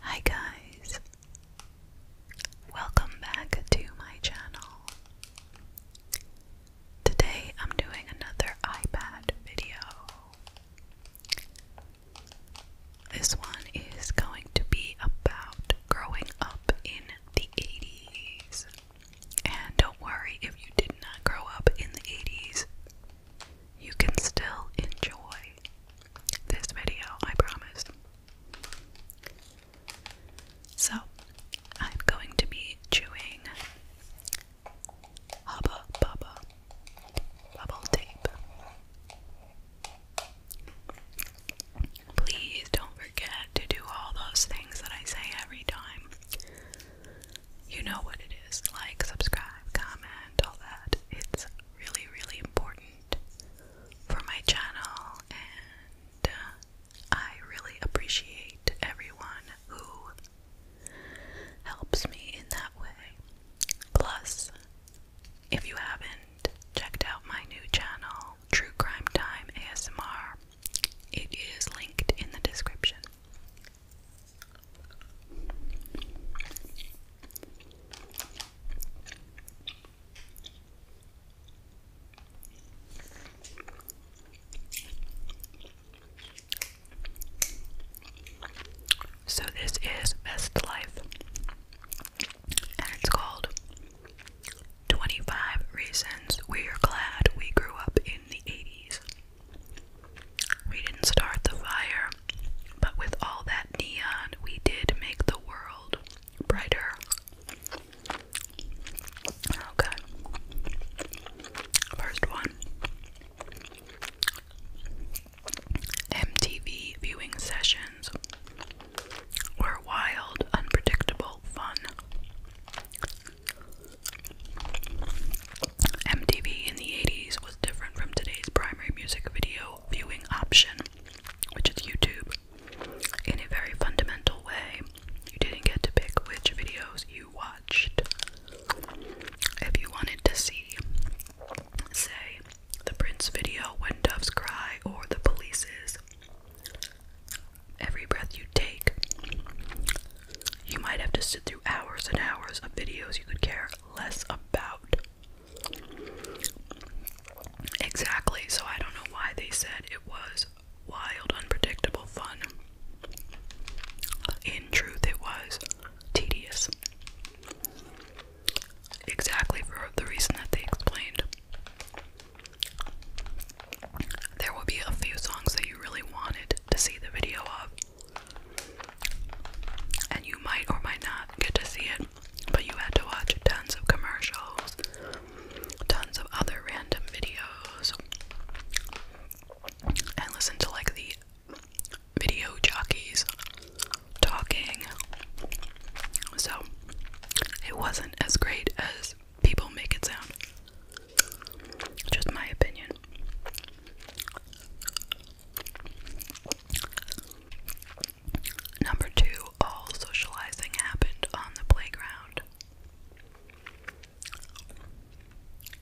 Hi guys! Welcome back to my channel. Today I'm doing another iPad video. This one is going to be about growing up in the 80s. And don't worry if you did not grow up in the 80s you can still enjoy this video, I promise. So, I'm going to be chewing Hubba Bubba bubble tape. Please don't forget to do all those things that I say every time you know what it is. Like, subscribe, comment, all that. It's really, really important for my channel, and uh, I really appreciate everyone who helps me in that way. Plus, if you haven't checked out my new channel, True Crime Time ASMR, it is linked in the description. So, this is Best Life, and it's called 25 Reasons We Are Glad We Grew Up in the 80s. We didn't start the fire, but with all that neon, we did make the world brighter. Okay. First one MTV viewing sessions were wild, unpredictable fun. MTV in the 80s was different from today's primary music video viewing option, which is YouTube. In a very fundamental way, you didn't get to pick which videos you watched. If you wanted to see, say, the Prince video, When Doves Cry, or The Police's Every Breath You Take, you might have to sit through hours and hours of videos you could care less about. Exactly, so I don't know why they said it was wild, unpredictable fun. In truth, it was tedious. Exactly for the reason that they explained. There will be a few songs that you really wanted to see the video of, and you might or might not get to see it, but you had to watch tons of commercials, tons of other random videos, and listen to like the video jockeys talking. So it wasn't as great as people make it sound. Just my opinion. Number two, all socializing happened on the playground.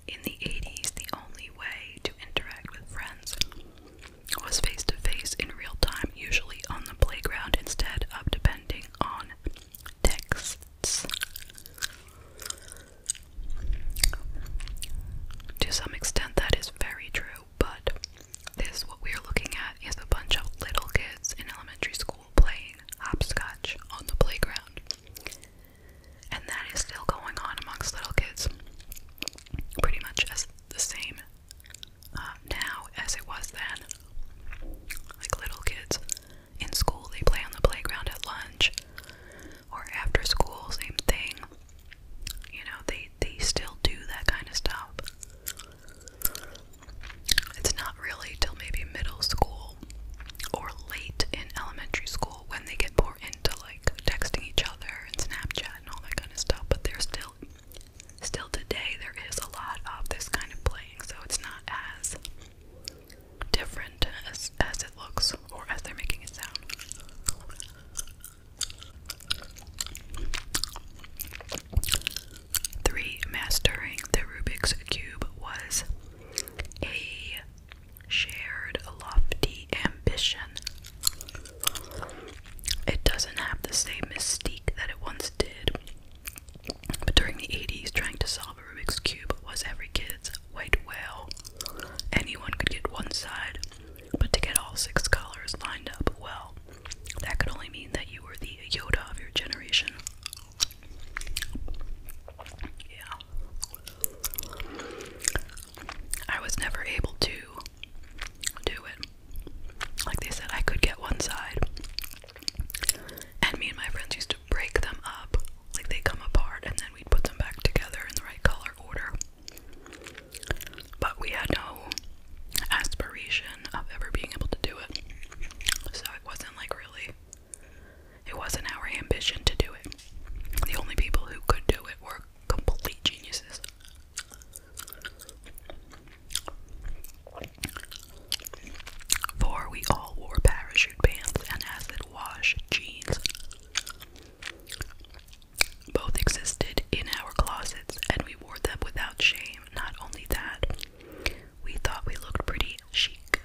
In the 80s, the only way to interact with friends was face to face in real time, usually on the playground instead of depending on texts. To some extent, that is very true, but this, what we are looking at, is a bunch of little kids in elementary school playing hopscotch on the playground. And that is still going on amongst little kids, pretty much as the same uh, now as it was then. Like little kids in school, they play on the playground at lunch or after school, same thing. You know, they they still do that kind of stuff. It's not really till maybe middle school or late in elementary school when they get more into like texting each other and Snapchat and all that kind of stuff, but they're still still today there is a lot of this kind of playing, so it's not as different as, as it looks or as they're making it sound. Three, mastering the Rubik's Cube was a shared, lofty ambition. It doesn't have the same mystique that it once did. But during the 80s, trying to solve a Rubik's Cube was every kid's white whale. Anyone could get one side, but to get all six colors lined up well, that could only mean that you were the Yoda of your generation. Yeah. I was never able to do it. Like they said, I could get one side. And me and my friends used to break them up. Like they come apart and then we'd put them back together in the right color order. But we had no aspiration of ever being able to do it. So it wasn't like really, it wasn't our ambition to do it. The only people who could do it were complete geniuses. For we all wore parachute pants and acid wash jeans. Both existed in our closets, and we wore them without shame. Not only that, we thought we looked pretty chic.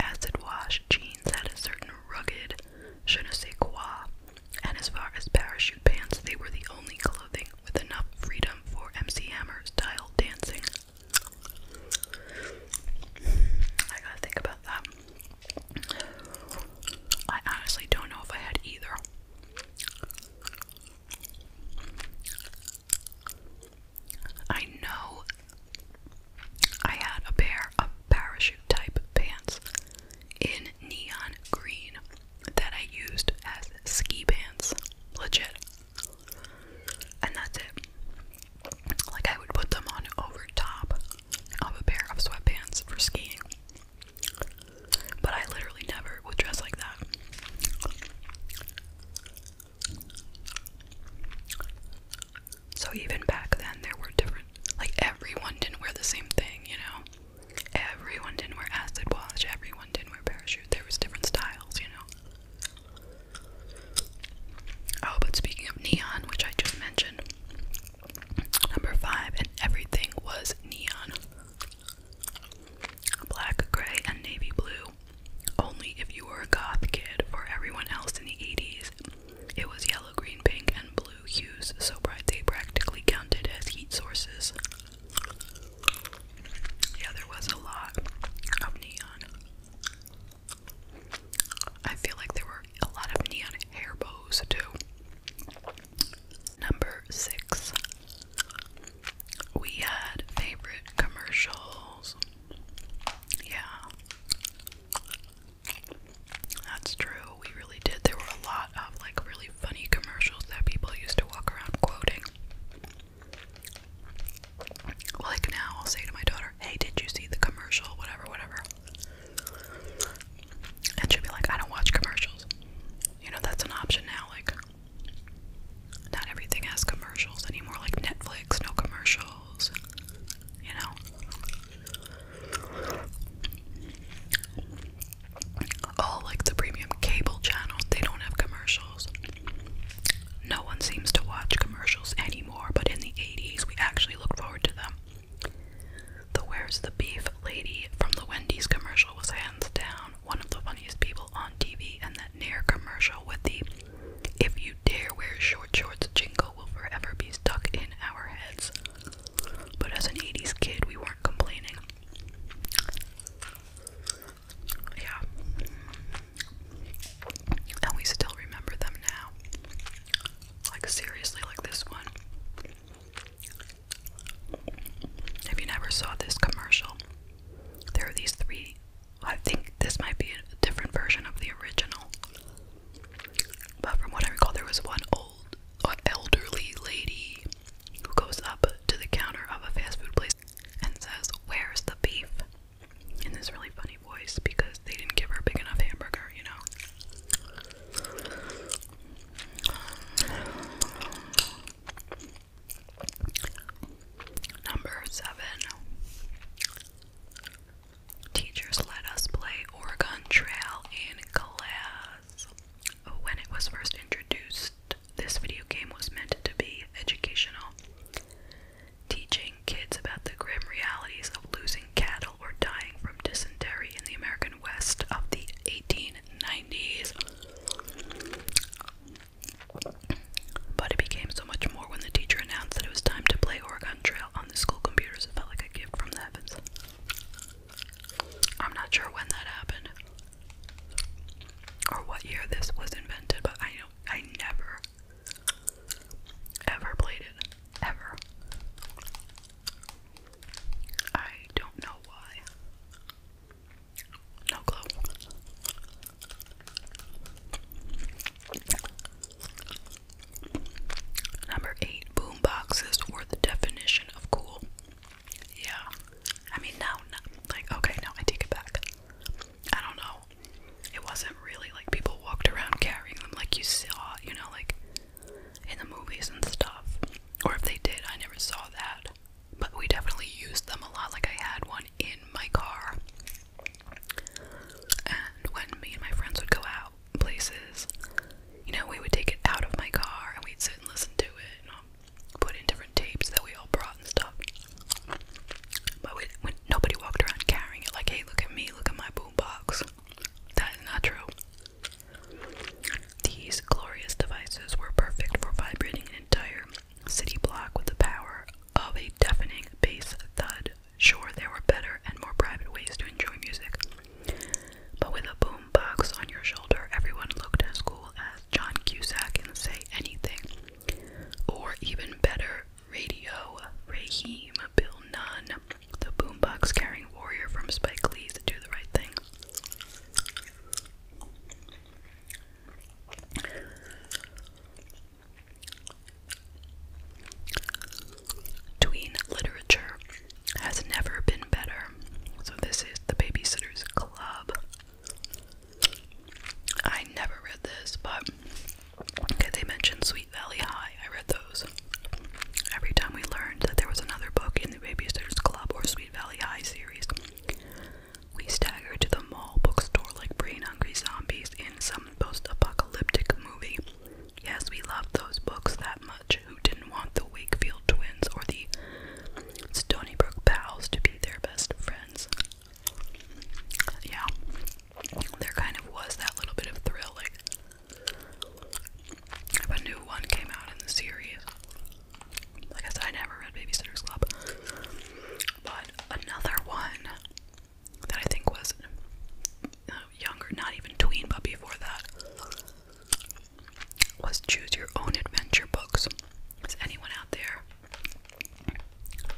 Acid washed jeans had a certain rugged je ne sais quoi, and as far as parachute pants, they were the only clothing with enough freedom for MC Hammer style dancing. I gotta think about that. I honestly don't know if I had either. I know I had a pair of parachute type pants in neon green that I used as ski pants. Legit. And that's it. Like I would put them on over top of a pair of sweatpants for skiing. But I literally never would dress like that. So even back then there were different like everyone didn't wear the same thing, you know. Everyone didn't wear acid wash, everyone didn't wear parachute. There was different styles, you know. Oh, but speaking of neon, which I just mentioned, number five, and everything was neon black, gray, and navy blue. Only if you were a goth kid, for everyone else in the 80s, it was yellow, green, pink, and blue hues, so bright they practically counted as heat sources. Yeah, there was a lot of neon. I feel like there were a lot of neon hair bows too. Number six, we had favorite commercials. Yeah, that's true. We really did. There were a lot of like really funny commercials that people used to walk around quoting. Like now, I'll say to my daughter, hey, did you see the commercial? Whatever, whatever. And she'll be like, I don't watch commercials. You know, that's an option now. Like, not everything has commercials anymore. Like Netflix, no commercials. You know? All like the premium cable channels, they don't have commercials. No one seems to watch commercials anymore but in the 80s we actually looked forward to them. The Where's the Beef lady from the Wendy's commercial was hands down one of the funniest people on TV, and that Nair commercial with the If You Dare Wear Short Shorts jingle will forever be stuck in our heads. But as an 80s kid, we weren't complaining. Yeah. And we still remember them now. Like, seriously, like this one. If you never saw this commercial, there are these three. I think this might be a different version of the original. But from what I recall, there was one old, elderly lady who goes up to the counter of a fast food place and says, Where's the beef? in this really funny voice because they didn't give her a big enough hamburger, you know. Number seven. Teachers let us play Oregon Trail in class. When it was first introduced, this video game was meant to be educational teaching kids about the grim realities of losing cattle or dying from dysentery in the American West of the 1890s. But it became so much more when the teacher announced that it was time to play Oregon Trail on the school computers. It felt like a gift from the heavens. I'm not sure when that happened or what year this was invented, but I know I never ever played it. Ever. I don't know why. No clue. Number eight, boom were the definition of cool. Yeah. I mean, now, like, okay, now I take it back. I don't know. It wasn't really like people walked around carrying them like you saw, you know, like in the movies and stuff. Or if they did, I never saw that. But we definitely used them a lot. Like I had one in my car. And when me and my friends would go out places, you know, we would take it out of my car and we'd sit and listen to it and um, put in different tapes that we all brought and stuff. But when nobody walked around carrying it, like, hey, look at me, look at my boombox. That is not true. These glorious devices were perfect for vibrating an entire city block with the power of a deafening bass thud. Sure, there were better and more private ways to enjoy music. But with a boom box on your shoulder, everyone looked as cool as John Cusack can say anything. Or even better, Radio, Raheem, Bill Nunn, the boombox carrying warrior from Spike Lee to Do the Right Thing. Tween literature has never been better. So, this is The Babysitter's Club. I never read this, but they mentioned Sweet Valley High. I read those. Every time we learned that there was another book in the Babysitters Club or Sweet Valley High series, we staggered to the mall bookstore like brain hungry zombies in some post apocalyptic movie. Yes, we loved those books that much. Who didn't want the Wakefield twins or the Stony Brook pals to be their best friends? Yeah there kind of was that little bit of thrill, like a new one came out in the series. Like I said, I never read Babysitter's Club. But another one that I think was uh, younger, not even tween, but before that, was Choose Your Own Adventure books. Has anyone out there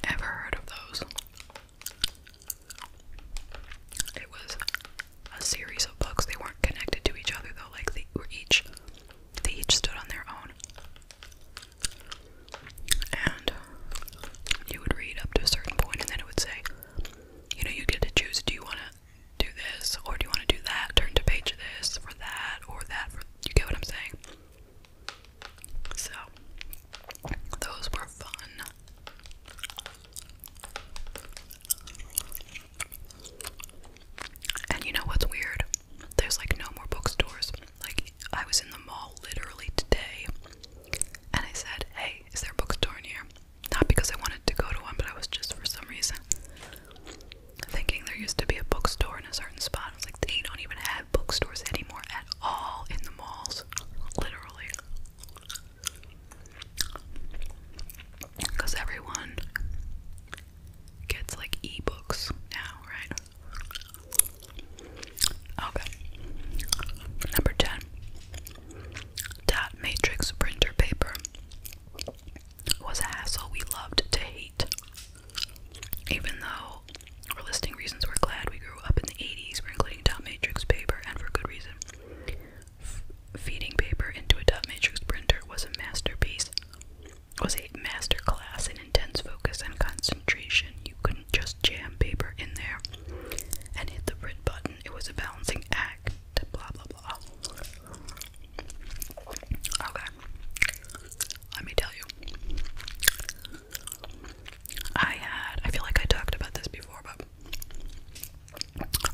ever heard of those? It was a series of books. They weren't connected to each other though. Like they were each, they each stood on their own. And you would read up to a certain point, and then it would say, you know, you get to choose. Do you want to do this, or do you want to do that? Turn to page this for that, or that for. You get what I'm saying? So, those were fun. And you know what's weird? There's like no more bookstores. Like, I was in the mall literally today and I said, Hey, is there a bookstore in here? Not because I wanted to go to one, but I was just for some reason thinking there used to be a bookstore in a certain spot. I was like, They don't even have bookstores anymore at all in the malls, literally. Because everyone gets like ebooks now, right? Okay. Number 10. Dot matrix printer paper was a hassle we loved to hate. Even though, for listing reasons, we're glad we grew up in the 80s, we're including dot matrix paper, and for good reason. feeding paper into a dot matrix printer was a masterpiece, was a master class in intense focus and concentration. You couldn't just jam paper in there and hit the print button. It was a balancing act, blah, blah, blah. Okay. Let me tell you. I had, I feel like I talked about this before, but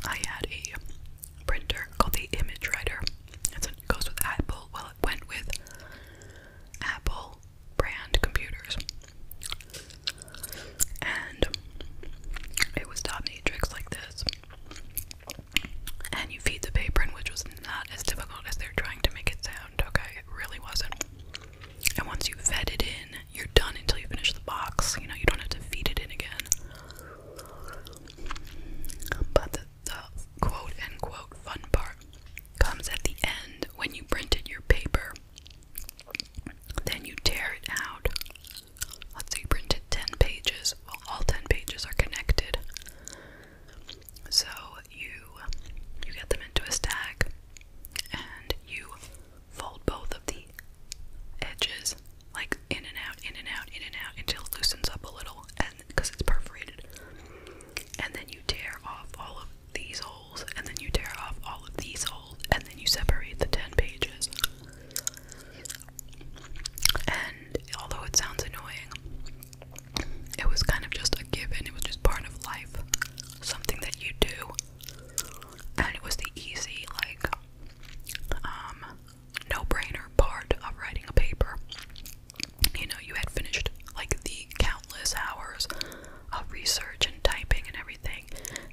I had a printer called the Image Writer. it goes with Apple. Well, it went with Apple brand computers. And it was dot matrix like this. And you feed the paper in, which was not as difficult as they're trying to make it sound, okay? It really wasn't. And once you fed it in, you're done until you finish the box. You know, you don't have to feed it in again. But the, quote unquote fun part comes at the end when you printed your paper. Then you tear it out. Let's say you printed 10 pages. Well, all 10 pages are connected. So you you get them into a stack and you fold both of the edges like in and out, in and out, in and out until it loosens up a little and because it's perforated. And then you tear off all of these holes and then you tear off all of these holes and then you separate the 10 pages. And although it sounds annoying, it was kind of just a given, it was just part of life, something that you do. And it was the easy, like, um, no brainer part of writing a paper. You know, you had finished like the countless hours of research and typing and everything,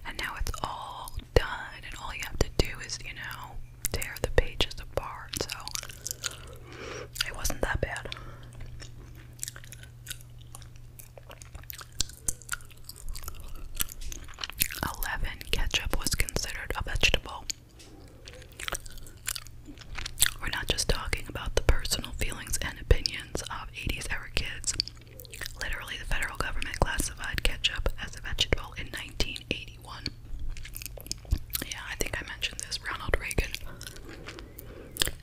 and now it's all done, and all you have to do is, you know, tear the pages apart. So it wasn't that bad. Eleven ketchup was considered a vegetable. We're not just talking about the personal feelings and opinions of 80s era kids. Literally, the federal government classified ketchup as a vegetable in 1981. Yeah, I think I mentioned this. Ronald Reagan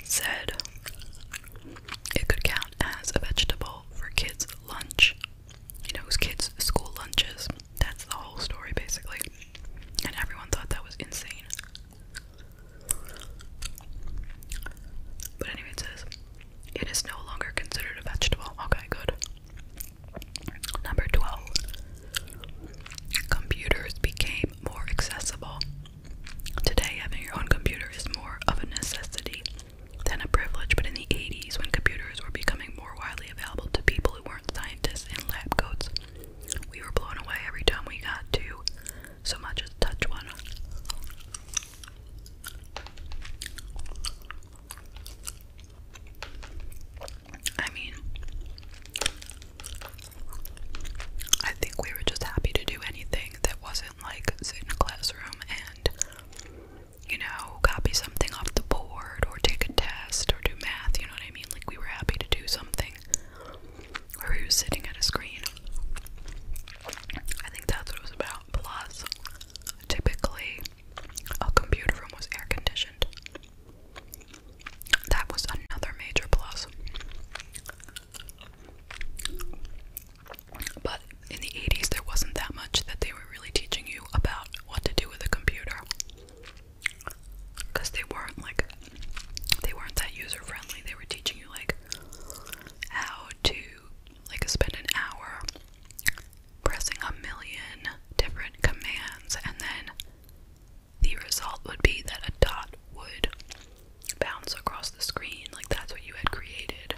said it could count as a vegetable for kids' lunch. You know, it was kids' school lunches. That's the whole story, basically. And everyone thought that was insane. But anyway, it says it is no longer considered a vegetable. Okay, good. Number 12. Computers became more accessible. Today, having your own computer is more of a necessity than a privilege, but in the 80s, when computers were becoming more widely available to people who weren't scientists in lab coats, we were blown away every time we got to so much as touch one. I mean, I think we were just happy to do anything that wasn't like sit in a classroom and, you know, copy something off the board or take a test or do math, you know what I mean? Like, we were happy to do something where we were sitting at a screen. I think that's what it was about. Plus, typically, a computer room was air conditioned that was another major plus. But in the 80s, there wasn't that much that they were really teaching you about what to do with a computer. Because they weren't like, they weren't that user friendly. They were teaching you, like, how to, like, spend an hour pressing a million different commands and then the result would be that a dot would bounce across the screen. Like that's what you had created.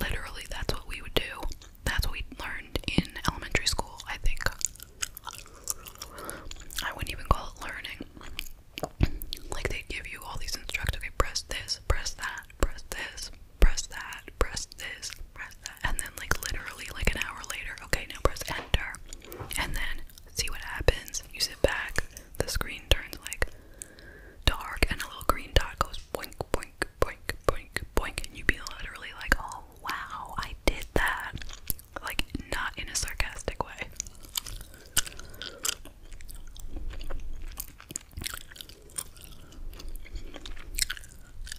Literally, that's what we would do. That's what we learned in elementary school, I think. I wouldn't even call it learning. Like they'd give you all these instructions. press this, press that, press this, press that, press this, press that. And then like literally like an hour later, okay, now press enter. And then see what happens. You sit back, the screen turns like dark, and a little green dot goes boink, boink, boink, boink, boink, and you be literally like, oh wow, I did that. Like, not in a sarcastic way.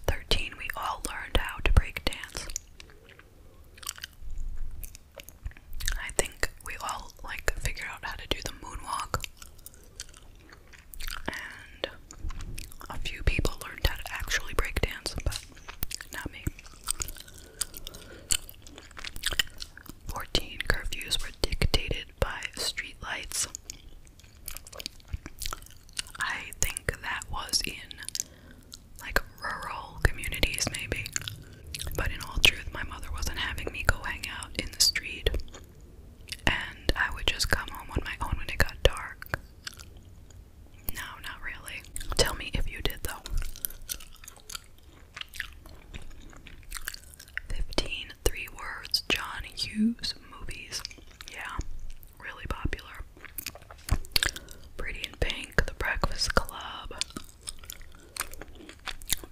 Thirteen, we all learned how to break dance. I think we all like figure out how to do the moonwalk. And a few people learned how to actually break but not me. 14 curfews were dictated by streetlights. I think that was in like rural communities, maybe. But in all truth, my mother wasn't having me go hang out in the street, and I would just come home on my own when it got dark. No, not really. Tell me if you did, though. 15 words John Hughes movies. Yeah, really popular. Pretty in Pink, The Breakfast Club.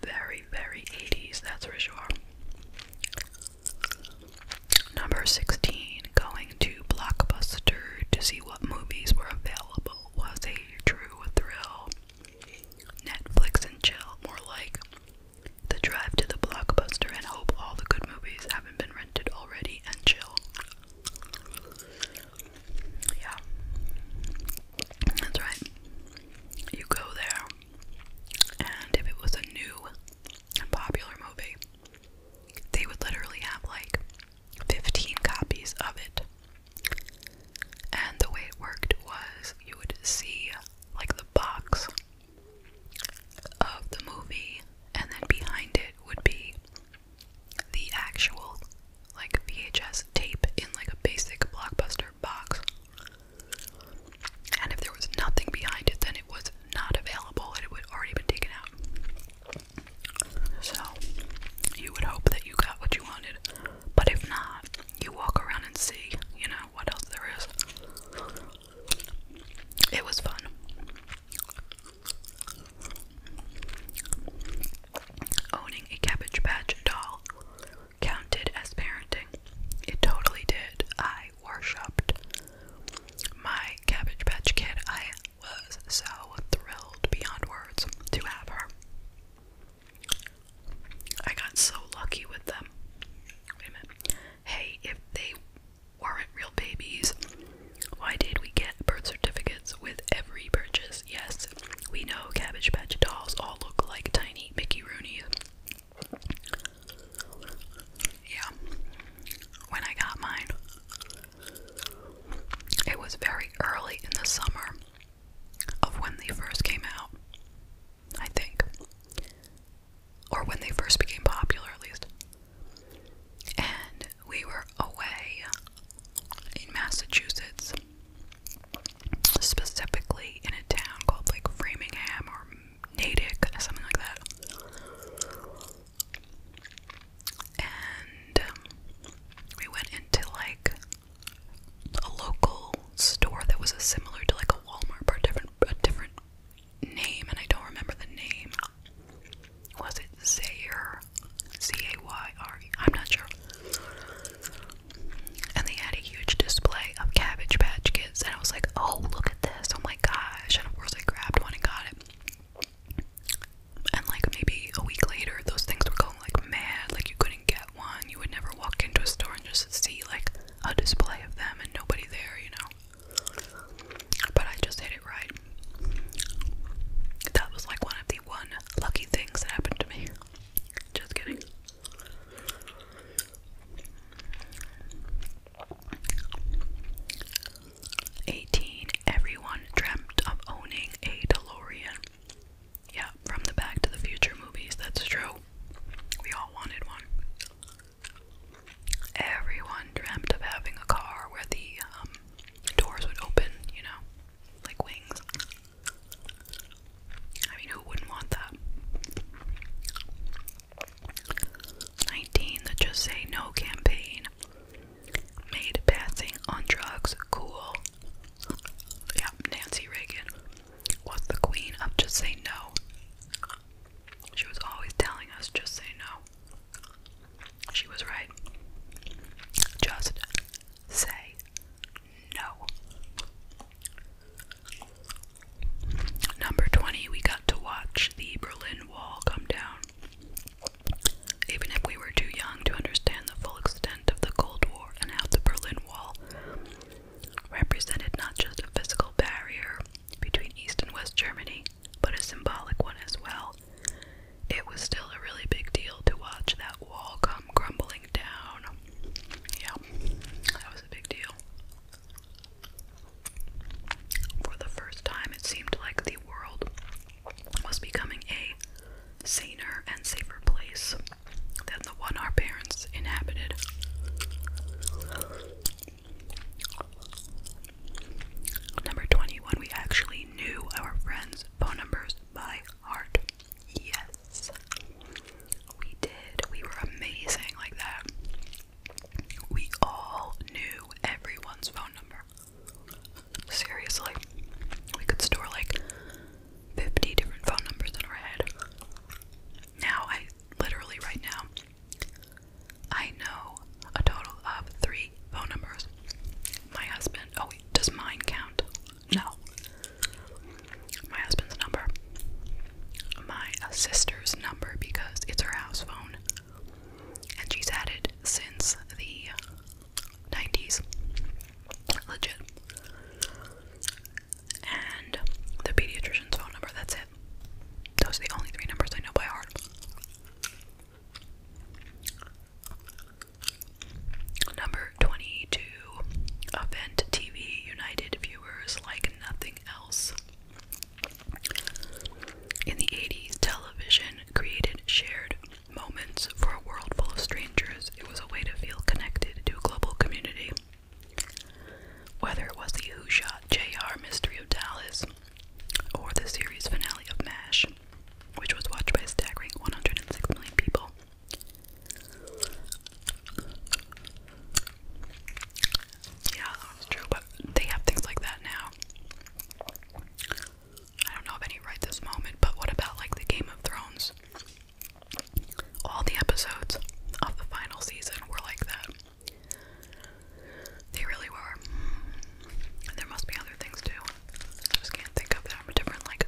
Very, very 80s, that's for sure. Number 16, going to Blockbuster to see what movies were available was a true thrill. Netflix and chill, more like the drive to the Blockbuster and hope all the good movies haven't been rented already and chill. Yeah. That's right. You go there, and if it was a new and popular movie, they would literally have like 15 copies of it. And the way it worked was you would see like the box of the movie, and then behind it would be the actual like VHS tape in like a basic blockbuster box. And if there was nothing behind it, then it was not available and it would already been taken out. So you would hope that you got what you wanted. But if not, you walk around and see, you know, what else there is. It was fun. Owning a Cabbage Patch doll counted as parenting. It totally did. I worshipped my Cabbage Patch Kid. I was so thrilled beyond words to have her. I got so lucky with them. Hey, if they weren't real babies, why did we get birth certificates with every purchase? Yes, we know Cabbage Patch dolls all look like tiny Mickey Rooney. Yeah, when I got mine, it was very early in the summer of when they first came out, I think. Or when they first became popular, at least and we were away in Massachusetts, specifically in a town called like Framingham or Natick, something like that. And um, we went into like a local store that was similar to like a Walmart, but a different name, and I don't remember the name was it Zayer? C-A-Y-R-E. I'm not sure. And they had a huge display of Cabbage Patch Kids, and I was like, oh, look at this. Oh my gosh. And of course, I grabbed one and got it. And like maybe a week later, those things were going like mad. Like, you couldn't get one. You would never walk into a store and just see like a display of them and nobody there, you know? but I just hit it right. That was like one of the one lucky things that happened to me. Just kidding. Eighteen. Everyone dreamt of owning a DeLorean. Yeah, from the Back to the Future movies. That's true. We all wanted one. Everyone dreamt of having a car where the um, doors would open, you know, like wings. I mean, who wouldn't want that? 19. The Just Say No campaign made passing on drugs cool. Yeah, Nancy Reagan was the queen of Just Say No. She was always telling us, just say no. She was right. Just say no. Number 20, we got to watch the Berlin Wall come down. Even if we were too young to understand the full extent of the Cold War and how the Berlin Wall represented not just a physical barrier between East and West Germany, but a symbolic one as well. It was still a really big deal to watch that wall come crumbling down. Yeah, that was a big deal. For the first time, it seemed like the world was becoming a saner and safer place than the one our parents inhabited. Number 21, we actually knew our friends' phone numbers by heart. Yes. We did. We were amazing like that. We all knew everyone's phone number. Seriously. We could store like 50 different phone numbers in our head. Now, I literally right now I know a total of three phone numbers. My husband, oh does mine count? No. My husband's number, my sister's number because it's her house phone, and she's had it since the 90s. Legit. And the pediatrician's phone number, that's it. Those are the only three numbers I know by heart. Number 22 Event TV united viewers like nothing else. In the 80s, television created shared moments for a world full of strangers. It was a way to feel connected to a global community. Whether it was the Who Shot JR Mystery of Dallas, or the series finale of MASH, which was watched by a staggering 106 million people. Yeah, that's true, but they have things like that now. I don't know of any right this moment, but what about like the Game of Thrones? All the episodes of the final season were like that. They really were. There must be other things too. I just can't think of them. Different like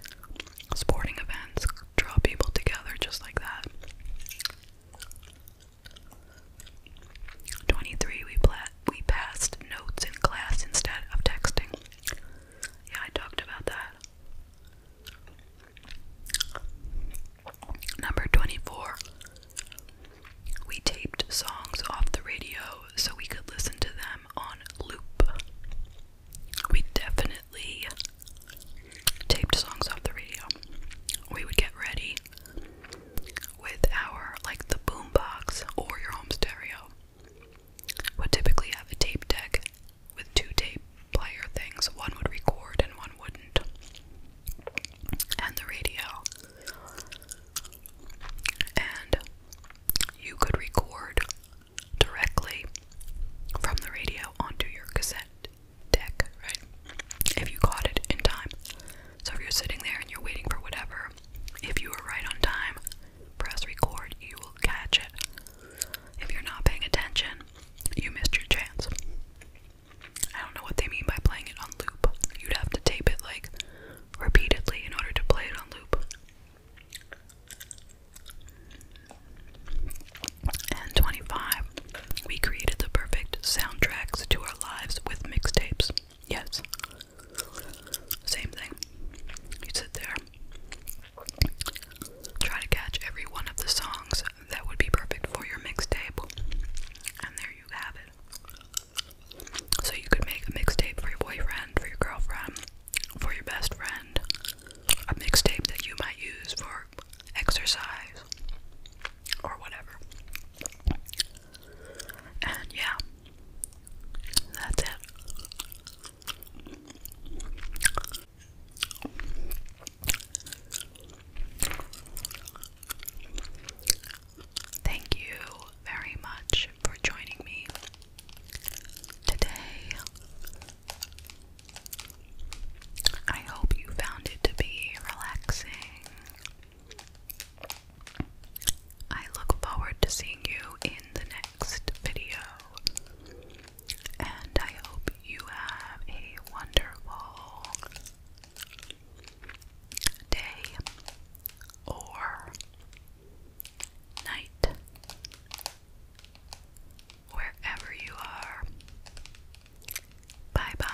sporting events draw people together just like that. 23. We pla we passed notes in class instead of texting. Yeah, I talked about that. Number 24. We taped songs off the radio so we could listen to them on loop. We definitely taped songs off the radio. We would get ready with our, like, the boombox or your home stereo. Would typically have a tape deck with two tape player things. One would record and one wouldn't. And the radio and you could record directly from the radio onto your cassette deck, right? If you caught it in time. So if you're sitting there and you're waiting for whatever, if you were right on time, press record, you will catch it. If you're not paying attention, you missed your chance. I don't know what they mean by playing it on loop. You'd have to tape it like repeatedly in order to play it on loop. And 25. We created the perfect soundtracks to our lives with mixtapes. Yes. Same thing. You sit there, try to catch every one of the songs that would be perfect for your mixtape, and there you have it. So you could make a mixtape for your boyfriend, for your girlfriend, for your best friend. A mixtape that you might use for exercise or whatever. And yeah, that's it. Thank you very much for joining me today. I hope you found it to be relaxing. I look forward to seeing you in the next video. And I hope you have a wonderful day or night, wherever you are. Bye bye.